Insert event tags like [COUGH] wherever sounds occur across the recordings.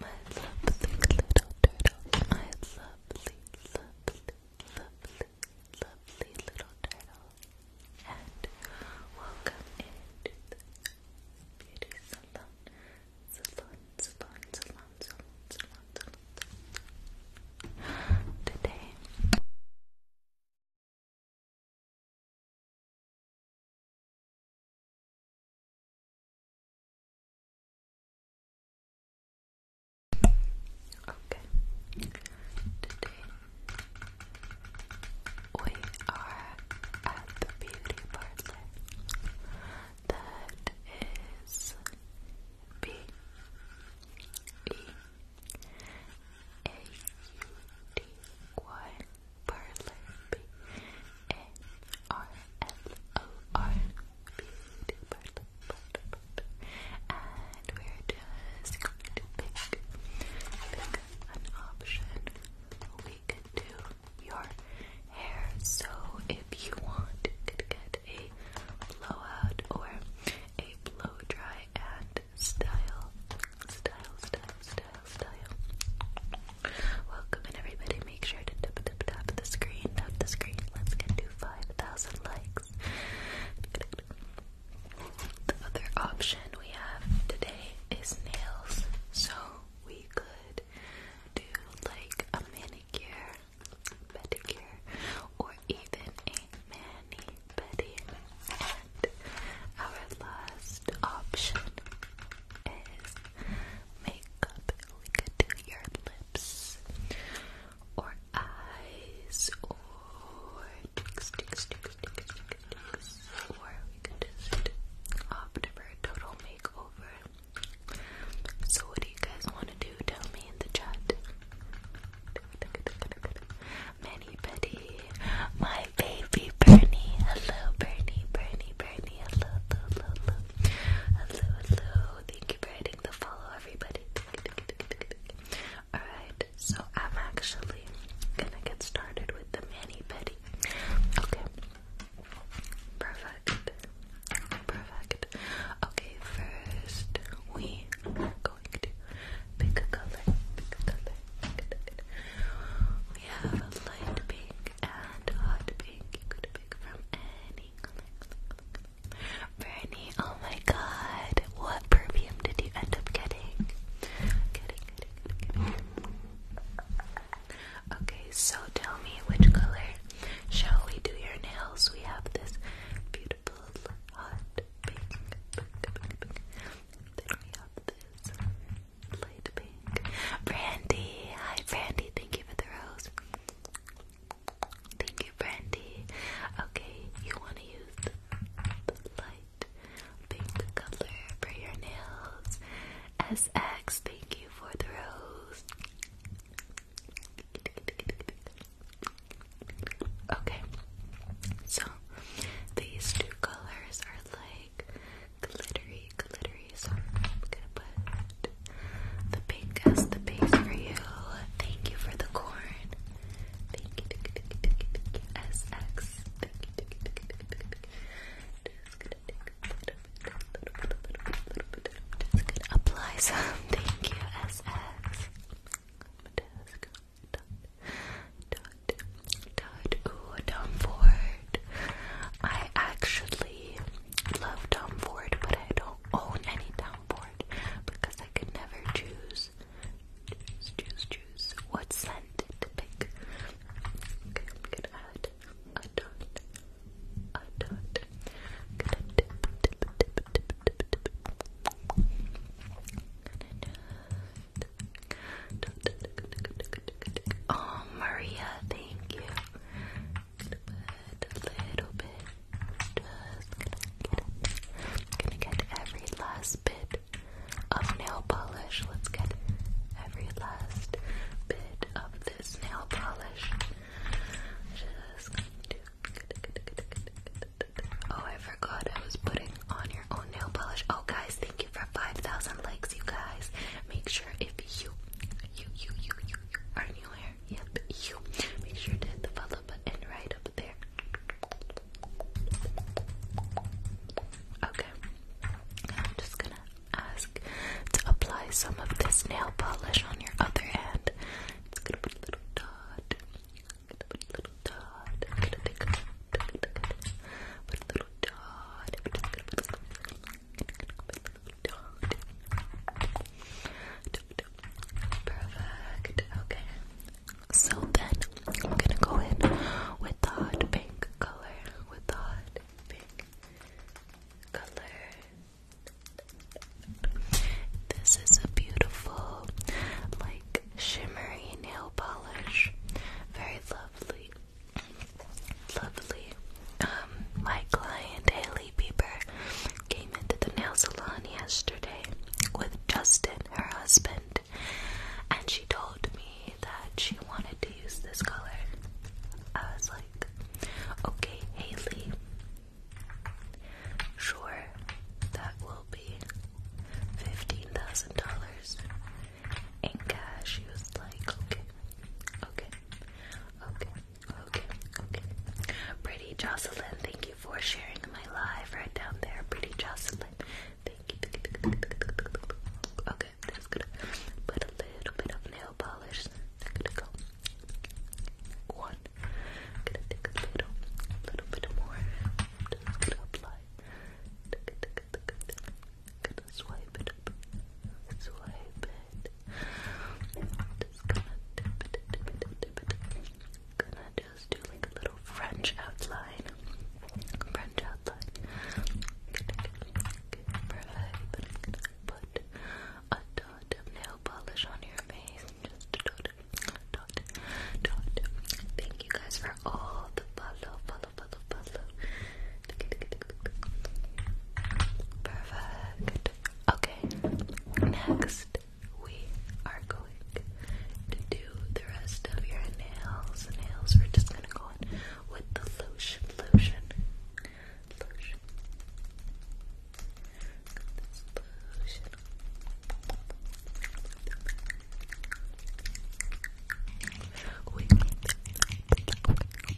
My lovely little turtle. My lovely, lovely, lovely, lovely little turtle. And welcome into the beauty salon. Salon, salon, salon, salon, salon, salon. Today Okay, today we are at the beauty parlor that is B E A U D Y parlor B a-R-L-O-R Beauty Parlor, Parlor, Parlor And we're just going to pick, pick an option we can do your hair So if you want, you could get a blowout or a blow dry and style Style, style, style, style Welcome in everybody. Make sure to tap tap tap the screen, tap the screen. Let's get to 5,000 likes. The other option we have today is nails. So we could do like a manicure, pedicure, or even a mani pedi. And our last option is makeup lick lips or eyes or we could just opt for a total makeover. So what do you guys want to do? Tell me in the chat. Many Betty, my baby Bernie. Hello Bernie, Bernie, Bernie. Hello, hello, hello, hello, hello. Thank you for hitting the follow, everybody. Alright, so I'm actually gonna get started with the mani petty. Okay. Perfect. Perfect. Okay, first we are going to pick a color. We have a light pink and hot pink to oh my god, what perfume did you end up getting? Getting, getting, getting. Okay, so tell me which color shall we do your nails? We have this beautiful hot pink, we have this light pink. Brandy, hi Brandy, thank you for the rose. Thank you, Brandy. Okay, you want to use the light pink color for your nails. SX, thank you for the rose. Okay, so these two colors are like glittery, glittery. I'm gonna put the pink as the base for you. Thank you for the corn. Thank you, SX. Just gonna apply some. [LAUGHS] Thank you, SX. Dot, dot, dot. Ooh, down four. I actually love Tom Ford, but I don't own any Tom Ford because I could never choose, choose, choose, choose what scent to pick. Okay, I'm gonna add a dot, a dot. I'm gonna dip, dip, dip, dip, dip, dip. I'm gonna dot. Oh, Maria, thank you a little bit. Just gonna get, gonna get every last bit of nail polish. Let's get every last bit of this nail polish. Just gonna do. Oh, I forgot I was putting on your own nail polish. Oh, guys, thank you for 5,000 likes, you guys. Make sure if you, you, you, you, you, are new here, yep, you, make sure to hit the follow button right up there. Okay, I'm just gonna ask to apply some of this nail polish on your other hand. It's gonna put a little dot. Perfect. Okay. So then I'm gonna go in with the pink color. With the pink color. This is a beautiful, like shimmery nail polish. Very lovely. Lovely. Um, my client Haley Bieber came into the nail salon yesterday with Justin, her husband, and she told me that she wanted to use this color. I was like, okay, Haley, sure, that will be $15,000. Inga, she was like, okay, okay, okay, okay, okay. Pretty Jocelyn, thank you for sharing my live right down there. Pretty Jocelyn, thank you. Okay, that's good. Put a little bit of nail polish. one. gonna take a little, little bit more good, good. Gonna swipe it up. Swipe it. Just gonna just do like a little French outline. French outline. Perfect. put a dot of nail polish on your face. Just a dot, dot, dot. Thank you guys for all the follow, follow, follow, follow. Perfect. Okay, next we are going to do the rest of your nails. Nails, we're just gonna go in with the lotion, lotion, lotion. lotion.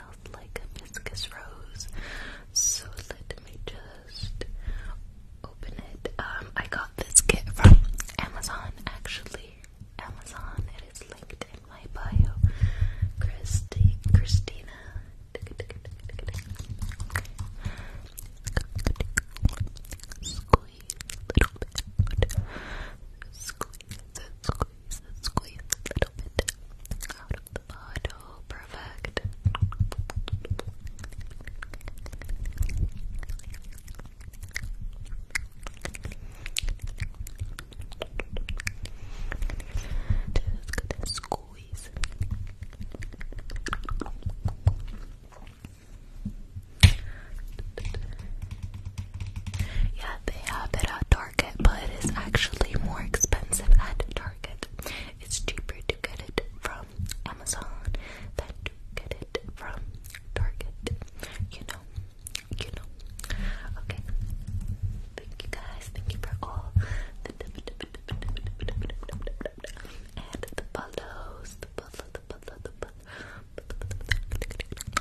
smells like hibiscus rose. So let me just open it. Um, I got this kit from Amazon actually. Amazon, it is linked in my bio. Christy, Christina. Squeeze a little bit. squeeze, squeeze, a little bit out of the bottle. Perfect. squeeze. Yeah, they have it at Target, but it is actually more expensive at Target. It's cheaper to get it from Amazon than to get it from Target. You know, you know. Okay. Thank you guys. Thank you for all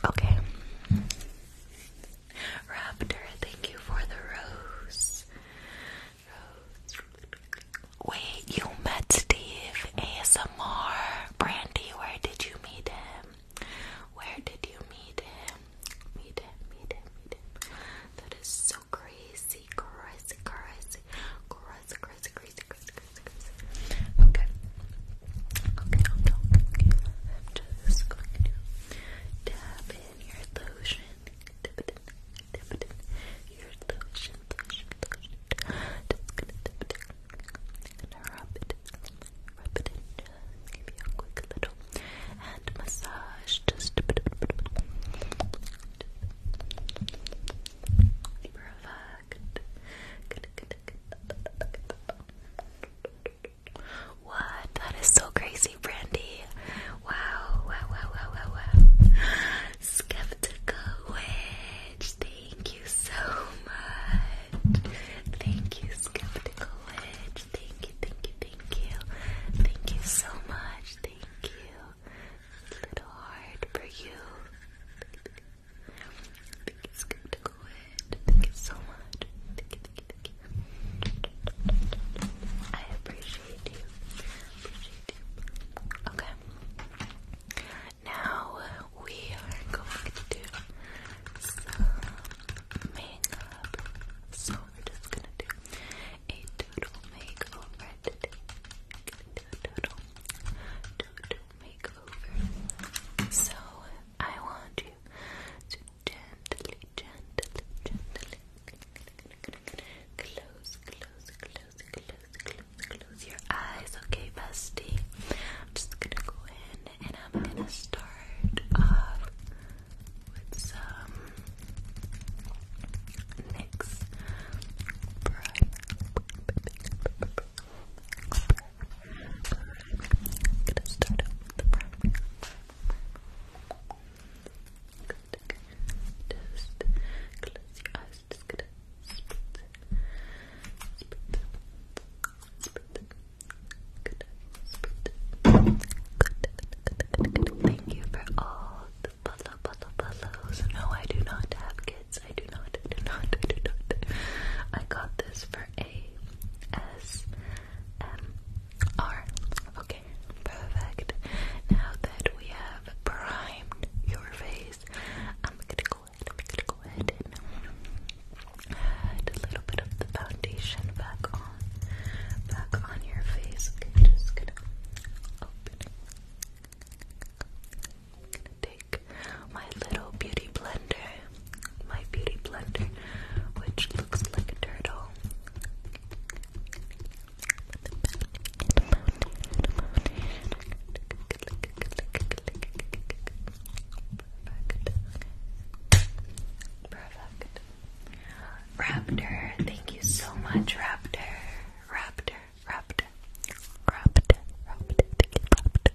Okay. Raptor, thank you for the rose. Wait, you met Steve ASMR. Brandy, where did you meet him? Where did you meet him? Meet him, meet him, meet him. That is so crazy, crazy, crazy, crazy, crazy, crazy, crazy, crazy, crazy. Okay. Okay, okay, okay. I'm just going to Dab in your lotion. Your lotion, lotion, lotion. Just gonna dip it in. rub it. Rub it in. Just give you a quick little hand massage. Just dip it in. Good, good, good. Good, good, good. What? That is so crazy, Brandy. Wow, wow, wow, wow, wow, Skeptical Witch, thank you so much. Thank you, Skeptical Witch. Thank you, thank you, thank you. Thank you so much. Thank you. Little heart for you. Thank you, Thank you so much. I Appreciate you. Okay. Now we are going to do some makeup. So we're just gonna do a total makeover today. Do a total, total makeover. So I want you to gently, gently, gently close, close, close, close, close, close your eyes, okay, bestie? I'm just gonna go in and I'm gonna start off with some NYX primer. I'm gonna start out with the primer. Good. Just close your eyes. Just gonna spit, spit, spit. Good. Spit. Good. Good. Good. Good. Thank you for all the follow, follow, follows. No, I do not have kids. I do not. I do not. I do not. I got this for a S M R. Okay, perfect. Now that we have primed your face, I'm gonna go ahead, I'm gonna go ahead and add a little bit of the foundation back on, back on your face. Okay, just gonna open it. I'm gonna take my little beauty blender my beauty blender, which looks like a turtle. Raptor, thank you so much, Raptor. Raptor, Raptor. Raptor, Raptor, Raptor.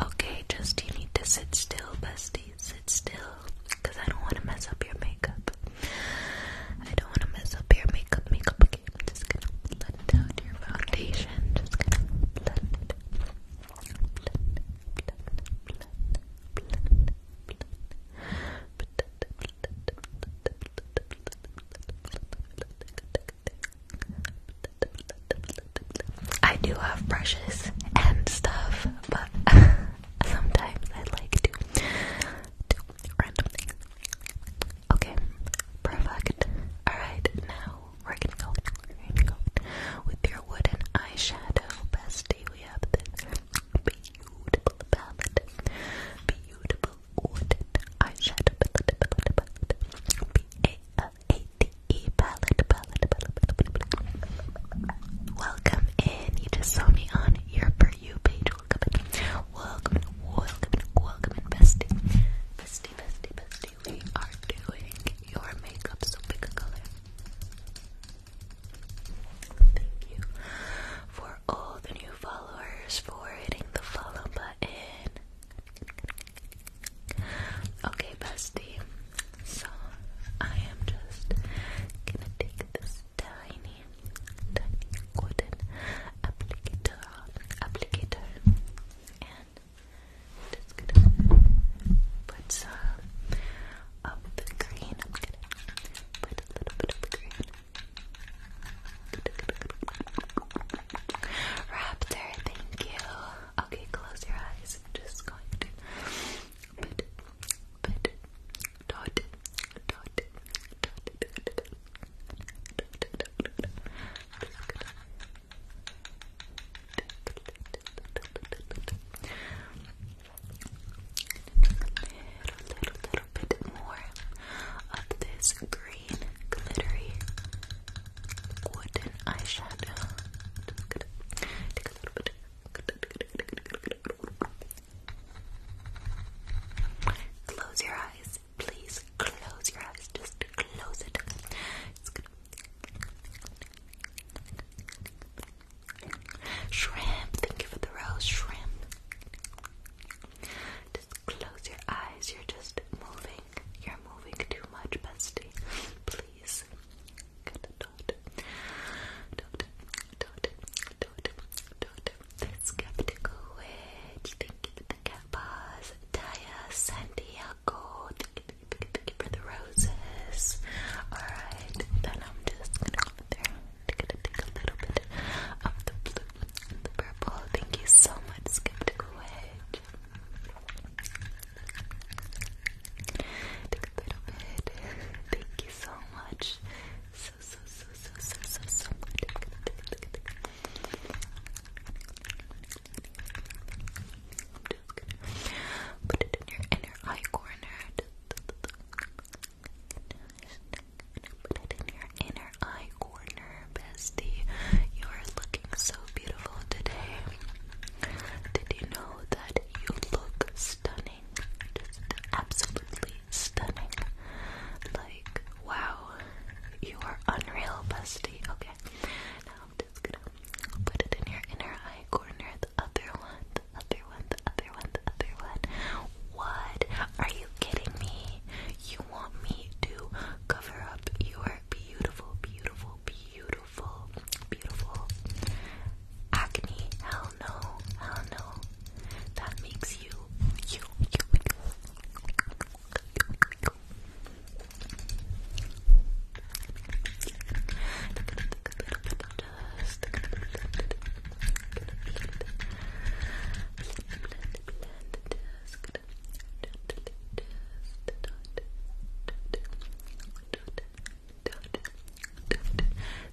Okay, just you need to sit still, bestie. Sit still, cause I don't want to mess up your makeup. I don't want to mess up your makeup, makeup again. Okay, I'm just gonna blend down your foundation. Just gonna blend it, blend, I do have brushes and stuff, but [LAUGHS] sometimes I like to do random Okay, perfect. Alright, now we're gonna go, with your wooden eyeshadow. Bestie, we have this beautiful palette, beautiful eyeshadow palette, palette, palette, B-A-L-A-T-E palette, palette, palette, palette. Welcome in, you just saw me on your For You page, welcome in, welcome in, welcome in, welcome in, bestie, bestie, we are doing your makeup, so pick a color. Thank you for all the new followers for hitting the follow button. Okay, bestie. So I am just gonna take this tiny, tiny wooden applicator, applicator, and just gonna put some of the green. I'm gonna put a little bit of the green Raptor, thank you. Okay, close your eyes. I'm just going to Little, little, little bit more of this green, glittery, wooden eyeshadow. take a little bit. Close your eyes, please. Close your eyes. Just close it. Shrimp, thank you the rose, shrimp. Just close your eyes, you're just moving. You're moving too much, bestie. Please. The Skeptical Witch, thank you the cat paws. Taya Santiago, thank you, thank for the roses. Alright, then I'm just gonna go through take a little bit of the blue the purple. Thank you so much, Skeptical Wedge. Take a little bit. Thank you so much. So, so, so, so, so, so, so put it in your inner eye corner. Put it in your inner eye corner, bestie. You are looking so beautiful today. Did you know that you look stunning? Just absolutely stunning. Like, wow, you are unreal, busty. Okay, now I'm just gonna put it in your inner eye corner the other one, the other one, the other one, the other one. What? Are you kidding me? You want me to cover up your beautiful, beautiful, beautiful, beautiful acne? Hell no, hell no. That makes you,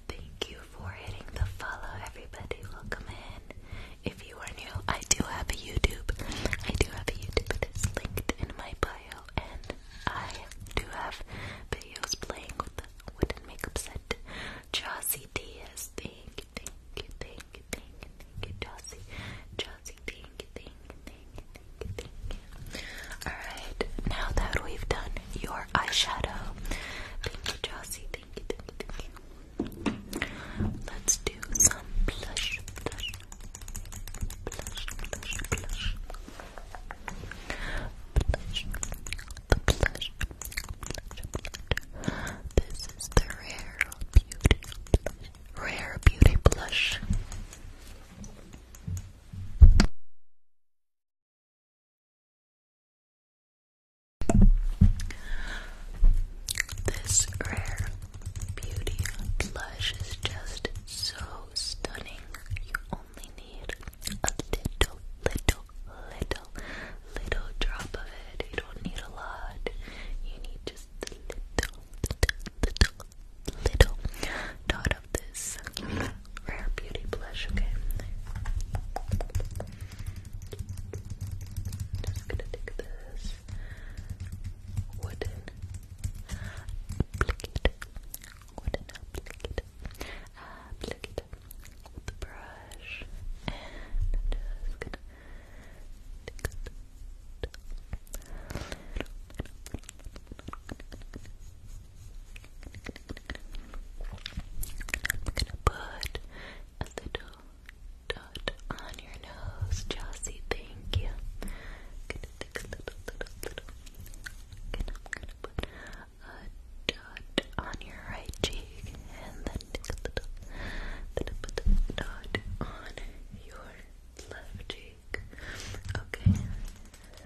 Thank you for hitting the follow, everybody. Welcome in. If you are new, I do have a YouTube. I do have a YouTube. It is linked in my bio, and I do have videos playing with the wooden makeup set. Jossie Diaz, thank you, thank you, thank you, thank you, thank you, Jossie. Jossie, thank you, thank you, thank you, thank you, thank you. Alright, now that we've done your eyeshadow, thank you, Jossie, thank you, thank you, thank you. Let's do some blush, blush, blush, blush, blush, blush, the blush, This is the rare beauty, rare beauty blush. This rare beauty blush is just so stunning only need a little, little, little, little drop of it. You don't need a lot. You need just a little, little, little, little dot of this rare beauty blush, okay? Just gonna take this wooden applicate, wooden applicate, applicate, the brush, and just gonna take a little bit. I'm gonna put a little dot on your nose, Jossie. Thank you. I'm gonna take a little, little, little. And I'm gonna put a dot on your right cheek, and then a little, then put the dot on your left cheek. Okay,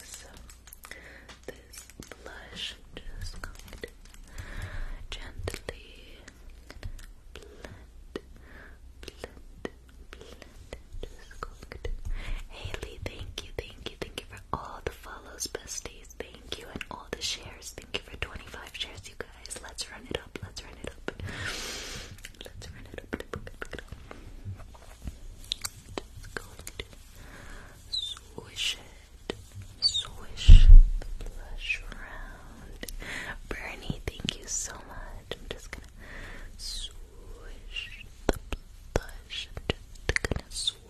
so this blush, just going to gently blend, blend, blend. Just going to. Haley, thank you, thank you, thank you for all the follows, bestie. Thank you and all the shares. Thank you for 25 shares, you guys. Let's run it up. Let's run it up. Let's run it up. Just going to swish it. Swish blush around. Bernie, thank you so much. I'm just gonna swish the blush. just gonna swish.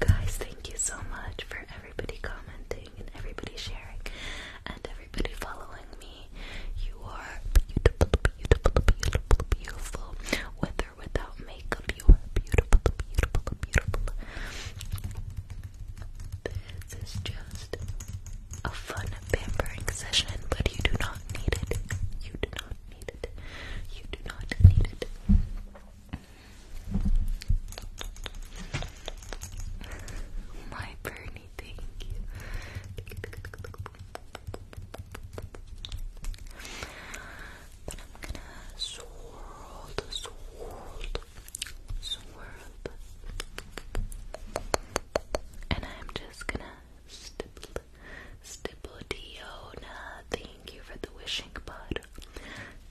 Guys, thank you so much for everybody commenting and everybody sharing and everybody following me. You are beautiful, beautiful, beautiful, beautiful. With or without makeup, you are beautiful, beautiful, beautiful. This is just a fun pampering session, but you do not need it. You do not need it. You do not need it. My Bernie, thank you. I'm gonna swirl, swirl, swirl, and I'm just gonna stipple, stipple Diona. Thank you for the wishing bud.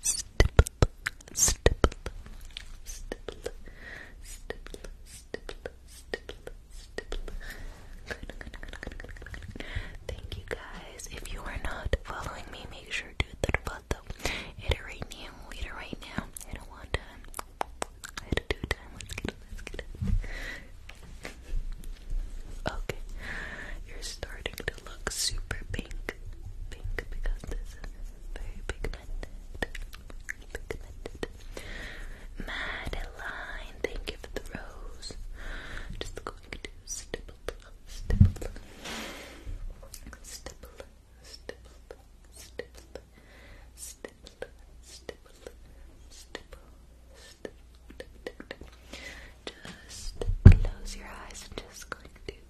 Stipple, stipple, stipple, stipple, stipple, stipple, stipple, stipple. Thank you guys. If you are not following me, make sure to do the it right now. Hit it right now. Hit it one time. Hit it two times. Okay. You're starting look super pink. Pink because this is very pigmented. Madeline, thank you for the rose. Just going to stipple, stipple, stipple, stipple, stipple, stipple, stipple, stipple, stipple. Just close your eyes. I'm just going to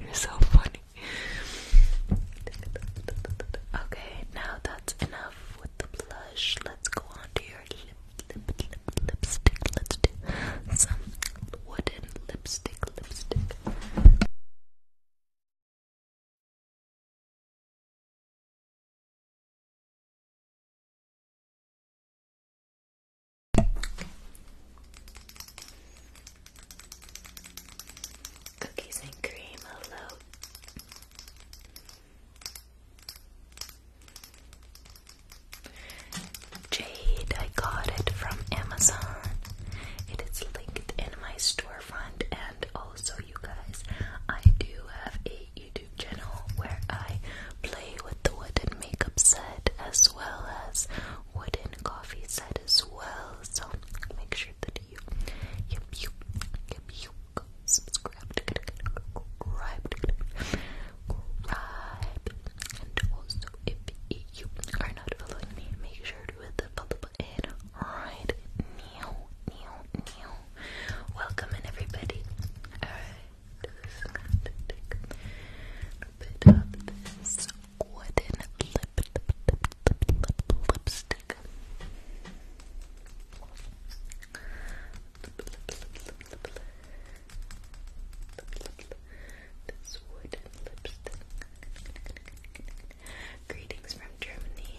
you're so funny. Okay, now that's enough with the blush. Let's go on to your lipstick. Let's do some wooden lipstick. Cookies and cream alone. Jade, I got it from Amazon. It is linked in my storefront, and also, you guys, I do have a YouTube channel where I play with the wooden makeup set as well as wooden coffee set as well. So make sure that you yep you yep you subscribe subscribe subscribe and also if you are not following me make sure to hit the follow button right now now now welcome everybody this wooden lipstick. This wooden lipstick. Greetings from Germany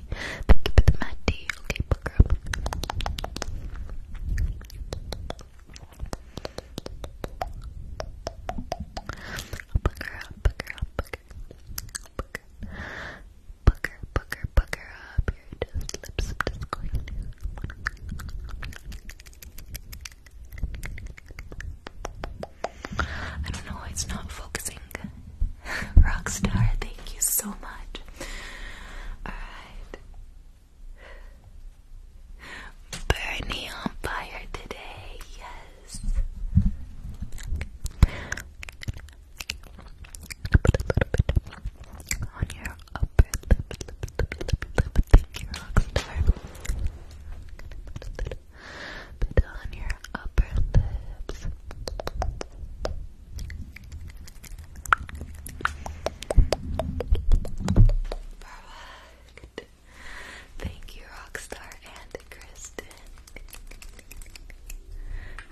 Maddie. Thank you for the Maddie. Okay, book her up. Book her up, book her up, book her. Book her. Book her, book her, book her up. Your just lips are just going to. I don't know why it's not focusing. [LAUGHS] Rockstar, thank you so much. Alright. Bernie on fire today, yes. Put a little bit on your upper lip, Thank you, Rockstar. Put a on your upper lips. Perfect. Thank you, Rockstar and Kristen.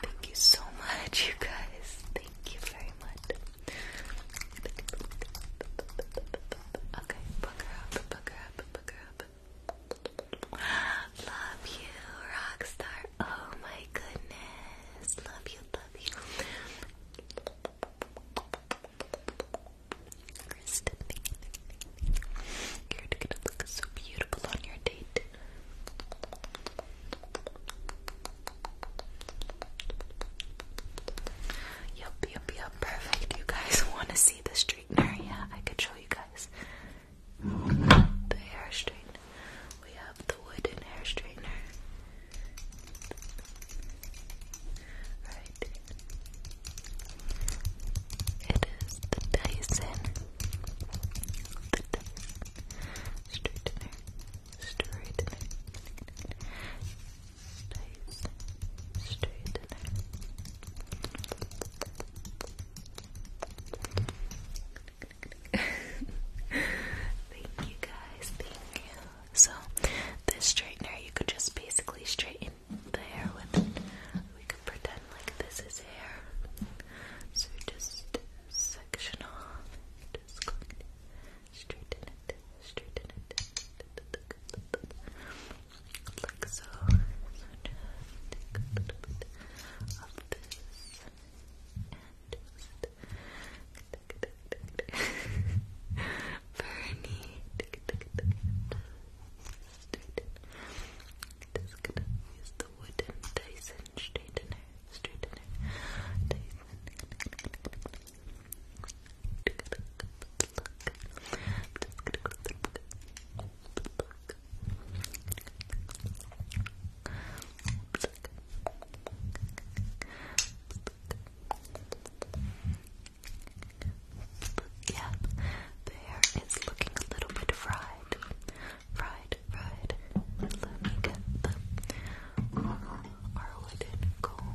Thank you so much, you guys. Thank you very much. Okay, book up, book up, book up. Love you, Rockstar. Oh my goodness. Love you, love you. Kristen, you're gonna look so beautiful on your date. Yup, yup, yup. Perfect. You guys want to see the straightener? [LAUGHS] Yeah, I could show you guys the hair straightener. We have the wooden hair straightener. Right. It is the Dyson. The straightener. Straightener. straightener thank you guys, So, this straightener, you could just basically straighten the hair with it. We could pretend like this is hair. So, just section off, straighten it, straighten it. Like so of this and just Bernie straighten just gonna use the wooden Dyson straightener straightener Dyson I'm just gonna go pluck, pluck, pluck, pluck, pluck, pluck, pluck, yeah, the hair is looking a little bit fried. Fried, fried. Let me get the our wooden comb.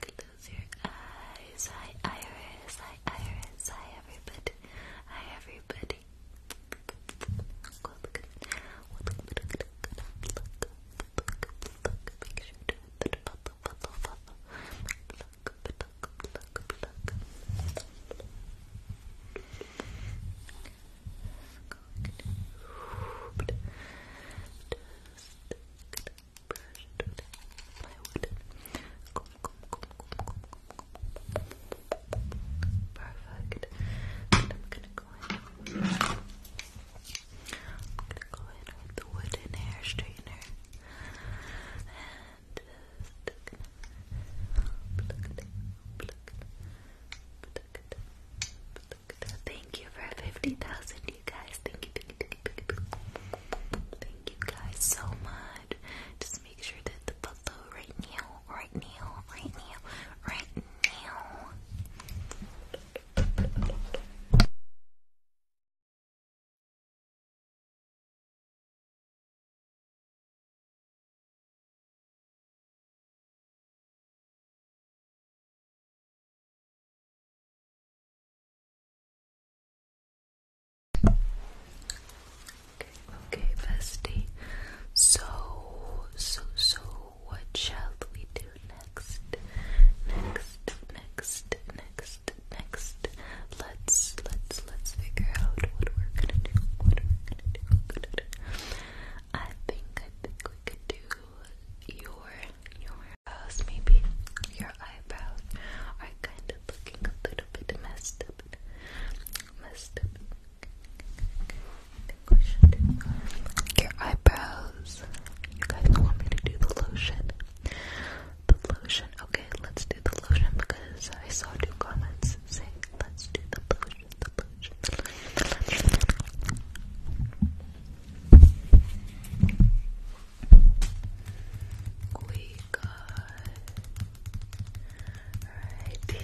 Close your eyes. Hi, everybody. Hi, everybody just brush Perfect. I'm gonna go in. with the wooden hair straightener. Thank you for 50,000, you guys. Thank you, thank you, thank you, thank you. Thank you guys so much. Just make sure that the below right now, right now, right now, right now. Okay, bestie. So, so, so, what shall we do next? Next, next, next, next. Let's, let's, let's figure out What we're gonna do. What we're gonna do. I think, I think we could do your your eyebrows, maybe your eyebrows are kind of looking a little bit messed up, messed up. your eyebrows. You guys want me to do the lotion? The lotion. Okay, let's do the lotion because I saw two comments saying let's do the lotion. The lotion. We got right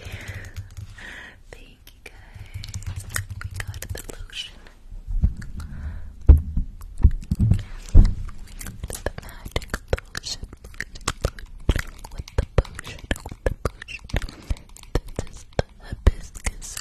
Thank you guys. We got the lotion. We the magic potion. With the potion, with the potion. This is hibiscus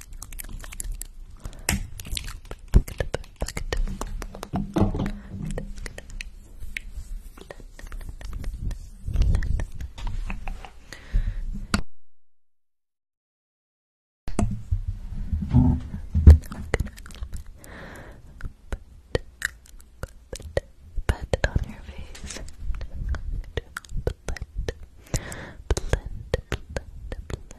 Put on your face. Perfect, perfect, perfect.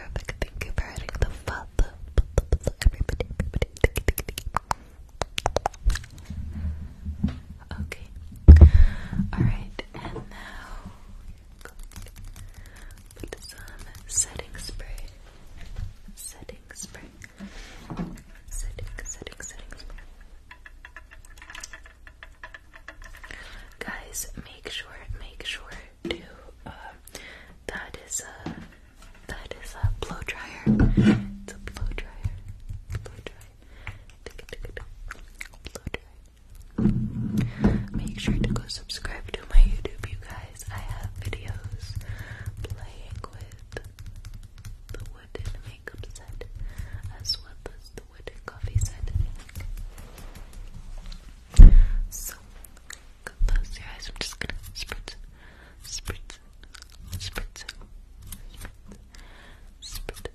Thank you for adding the father. Everybody, everybody, thank you. Okay. Alright, and now put some setting spray. Setting spray. Setting, setting, setting spray. Guys, make sure, make sure to uh, that is a that is a blow dryer. It's a blow dryer. Blow dryer. Make sure to go subscribe to my YouTube, you guys. I have videos playing with the wooden makeup set as well as the wooden coffee set. So, close your eyes. I'm just gonna spritz, spritz, spritz, spritz,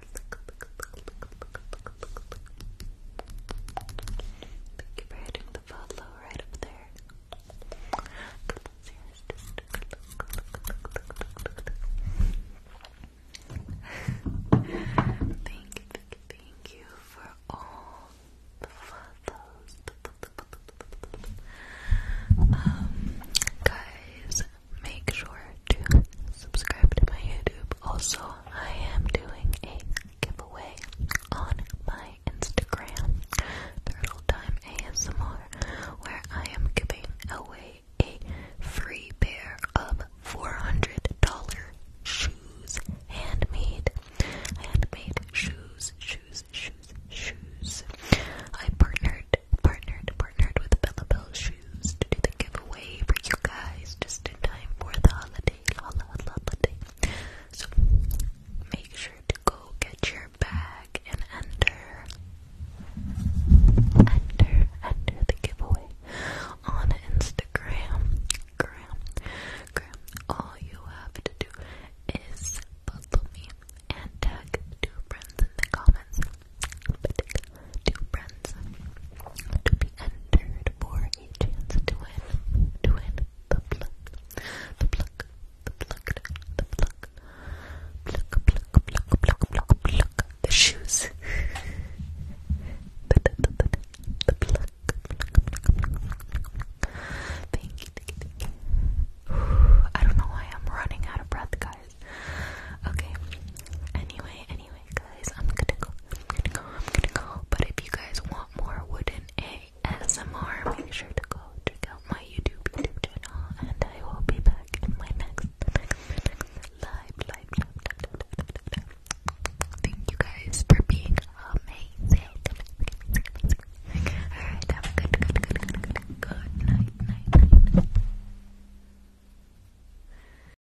Thank you for hitting the follow right up there. thank you, thank you for all the follows. Um, guys, make sure to subscribe to my YouTube also, I am doing a giveaway on my Instagram, Turtle Time ASMR, where I am giving away a free pair of $400 shoes, handmade, handmade shoes, shoes, shoes, shoes. I partnered, partnered, partnered with Bella Bell Shoes to do the giveaway for you guys just in time for the holiday. La, holiday. So make sure to go get your bag and enter, enter, enter the giveaway on Instagram. Gram, gram. All you have to do is follow me and tag two friends in the comments to be entered for a chance to win, to win the pluck, the pluck, the pluck, the pluck, pluck, pluck, pluck, pluck, pluck, pluck, the shoes, [LAUGHS] the, pluck, pluck, [SIGHS] I don't know why I'm running out of breath, guys. Okay. anyway. Anyway, guys, I'm gonna go. I'm gonna go. I'm gonna go. But if you guys want more wooden ASMR, make sure to go check out my YouTube channel, and I will be back in my next, live, live, live, Thank you guys for being amazing. Alright, have a good, good, good, good, good, night, night.